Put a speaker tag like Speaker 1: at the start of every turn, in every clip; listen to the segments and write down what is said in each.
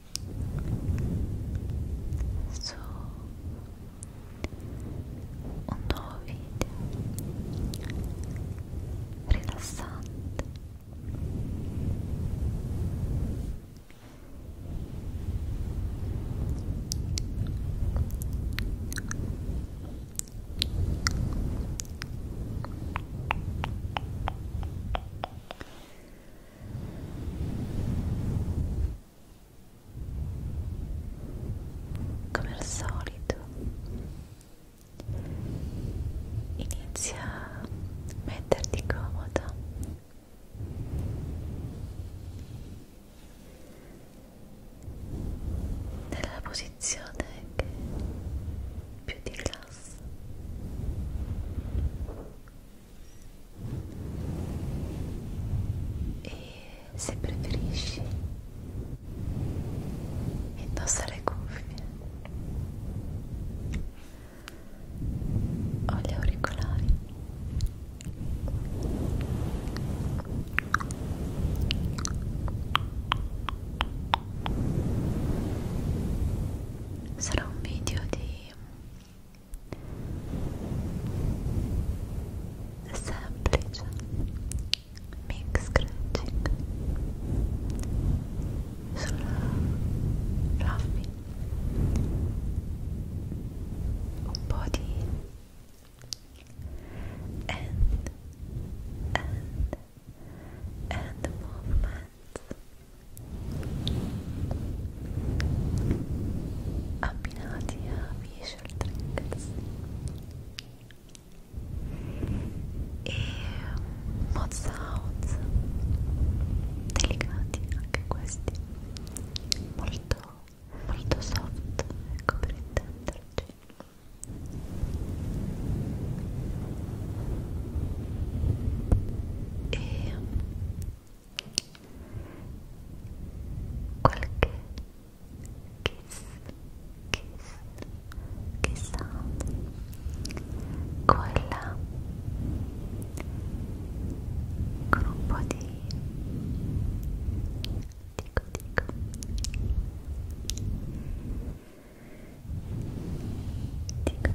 Speaker 1: su un nuovo video rilassante Buonanotte come al solito inizia a metterti comoda
Speaker 2: nella posizione che più ti classa
Speaker 3: e se preferisci indossa le cuffie o gli auricolari
Speaker 1: sarà un video di semplice mic scratching sulla Fluffy body and and and movement abbinati a visual triggers e um, mod sounds delicati anche questi molto molto soft ecco per intenderci e um, qualche kiss kiss kiss sound quella con un po' di dico dico dico dico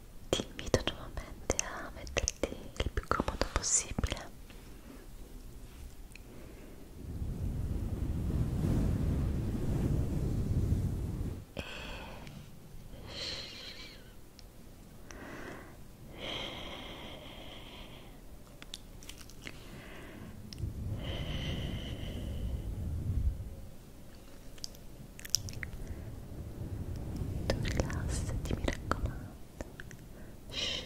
Speaker 1: ti invito nuovamente a metterti il più comodo possibile e tu rilassati mi raccomando
Speaker 2: Shhh. Shhh.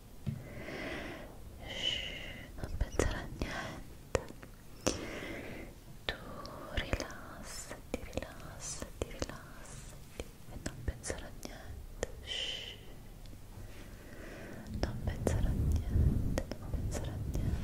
Speaker 2: Shh, non pensare a niente. Tu rilassati, rilassati, rilassati e non pensare a niente. Shh. Non pensare a niente, non pensare a niente. Shh.